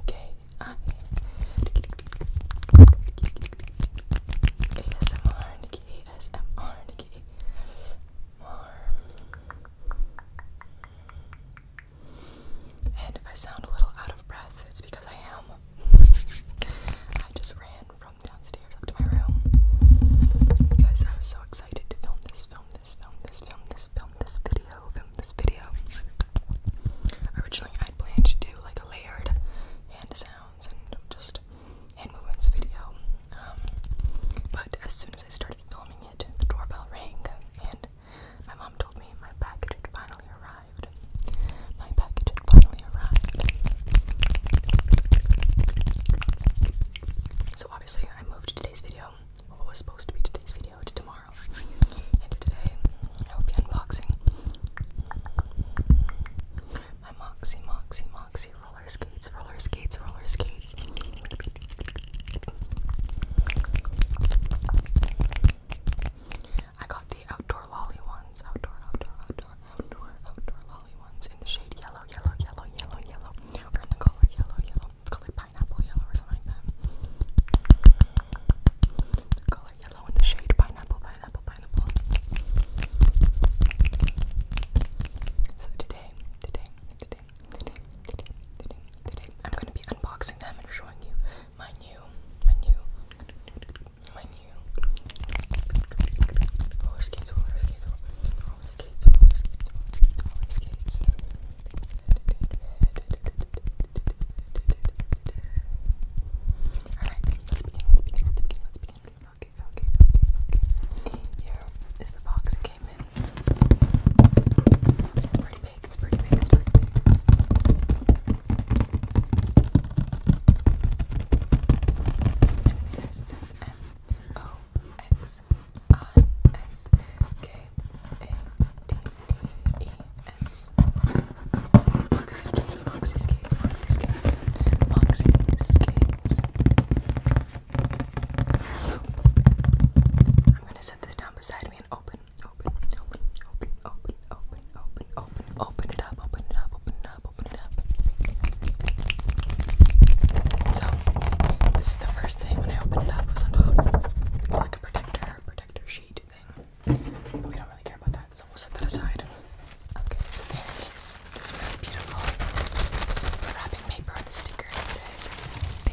okay? I ASMR, Nikki, ASMR, Nikki, ASMR. And if I sound a little out of breath, it's because I am. I just ran from downstairs up to my room because I was so excited to film this, film this, film this, film this, film this video, film this video. Originally, I'd planned to do like a layered hand sounds and just hand movements video, um, but as soon as I started filming it, the doorbell rang and my mom told me my package had finally arrived. My package had finally arrived. So obviously I moved today's video, what was supposed to be today's video, to tomorrow. And to today, I will be unboxing my moxy, moxy, Moxie roller skates, roller skates, roller skates. I got the outdoor lolly ones. Outdoor, outdoor, outdoor, outdoor, outdoor lolly ones in the shade yellow, yellow, yellow, yellow, yellow. Or in the color yellow, yellow. It's called like pineapple yellow or something like that. The color yellow in the shade pineapple, pineapple, pineapple. So today, today, today, today, today, today, today, I'm gonna be unboxing them and showing you my new, my new, my new roller skates, roller skates, roller skates, roller skates, roller skates, roller skates. Alright, let's begin, let's begin, let's begin, let's begin. Okay, okay, okay, okay. Here is the box it came in. It's pretty big. It's pretty It's pretty big. And it says, it says M O X I S K A T T E S. Moxie skates, So I'm gonna set this down beside me and open open, open, open, open, open, open, open, open it up, open it up, open up, open it up. So this is the first thing when I opened it up was on top. Like a protector, protector sheet thing. we don't really care about that, so we'll set that aside. Okay, so there it is. This really beautiful wrapping paper on the sticker. It says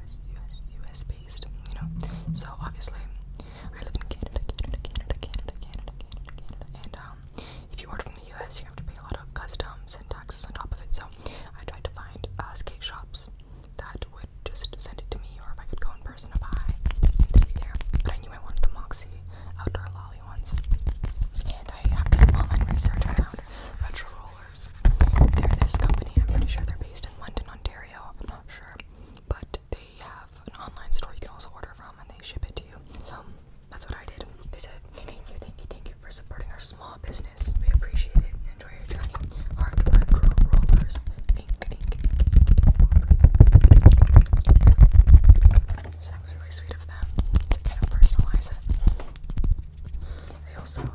US, US, US based, you know. So obviously, I live in Canada, Canada, Canada, Canada, Canada, Canada, Canada, and um, if you order from the US, you have to pay a lot of customs and taxes on top of it. So I tried to find uh, skate shops that would just send it to me, or if I could go in person to buy and to be there. But I knew I wanted the Moxie outdoor lolly ones, and I after some online research, I found retro roll rollers. this company, I'm pretty sure they're based in London, Ontario. I'm not sure. But they have an online store you can also order from and they ship it to you. that's what I did. They said, Thank you, thank you, thank you for supporting our small business. We appreciate it. Enjoy your journey. Hardware rollers. Ink, ink, ink, that was really sweet of them to personalize it. They also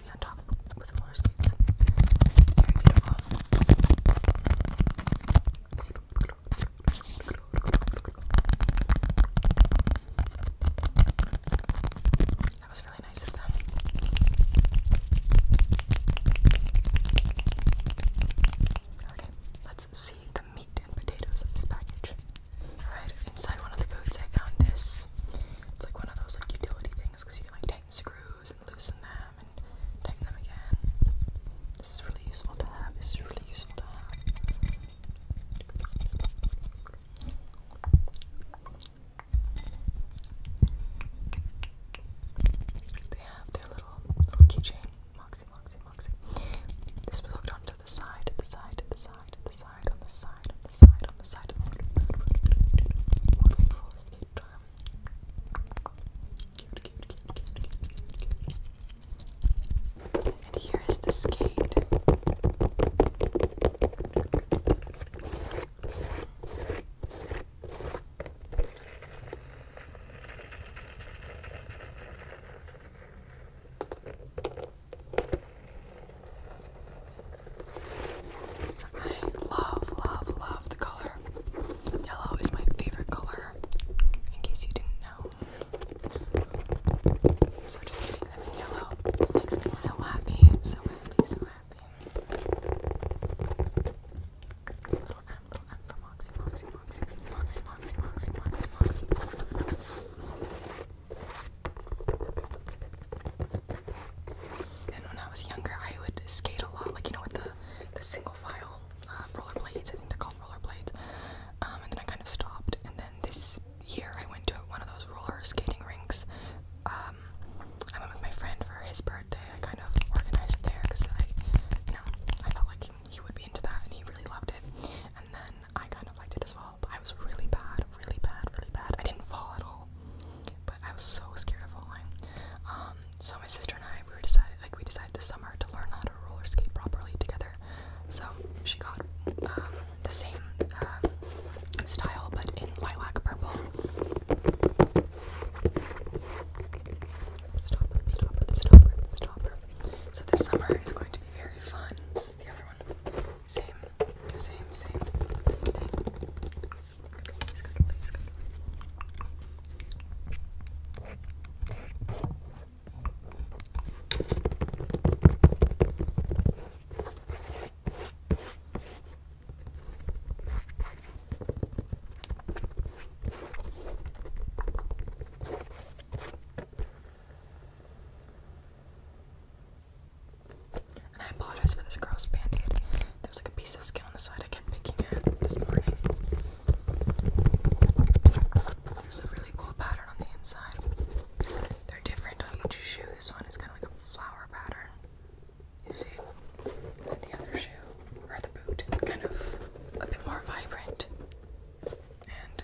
that was really nice of them. Okay, let's see the meat and potatoes of this package. Alright, inside one of the boots I found this. It's like one of those like utility things because you can like tighten screws loosen them and take them again. This is really useful to have. This is really useful to have. They have their little little keychain. Moxie, Moxie, Moxie. This was hooked onto the side, the side, the side, the side, on the side side, on the side, on the side, on the side. Cute, cute, cute, cute, cute, cute. And here is the skate. I love, love, love the color. Yellow is my favorite color, in case you didn't know. So just getting them in yellow makes me so happy, so happy, so happy. Little M, little M for Moxie, Moxie, Moxie, Moxie, Moxie, Moxie, and when I was younger, I would skate a lot, like you know, with the the single file uh, roller blades. I think they're called roller blades. Um, and then I kind of stopped. And then this year, I went to one of those roller skating rinks. Um, I went with my friend for his birthday. I kind of organized it there because I, you know, I felt like he would be into that, and he really loved it. And then I kind of liked it as well. I was really bad, really bad, really bad. I didn't fall at all, but I was so scared of falling. Um, so my sister and I, we decided, like we decided this summer to learn how to roller skate properly together. So she got um, the same uh, style, but in lilac purple. Stopper, stopper, stopper, stopper. So this summer is going to be very fun. the other one. Same, same, same, thing. And I apologize for this gross band There was like a piece of skin on the side I kept picking at this morning. There's a really cool pattern on the inside. They're different on each shoe. This one is kind of like a flower pattern. You see? And the other shoe, or the boot, kind of a bit more vibrant. And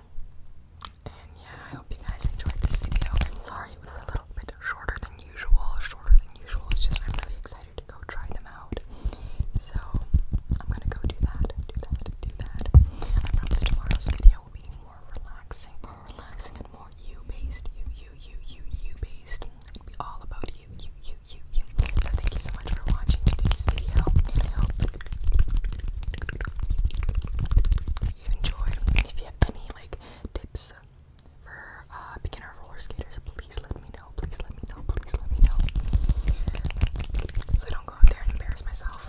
and yeah, I hope you guys enjoyed this video. am sorry it was a little bit shorter than usual. Shorter than usual. It's just I'm really excited to go try them out. So I'm gonna go do that, do that, do that. I promise tomorrow's video will be more relaxing, relaxing, and more you-based, you, you, you, you, you-based. It'll be all about you, you, you, you, you. So thank you so everyone for watching today's video, I hope you enjoyed. If you have any like tips for uh, beginner roller skaters, please let me know. Please let me know. Please let me know. So don't go out there and embarrass myself.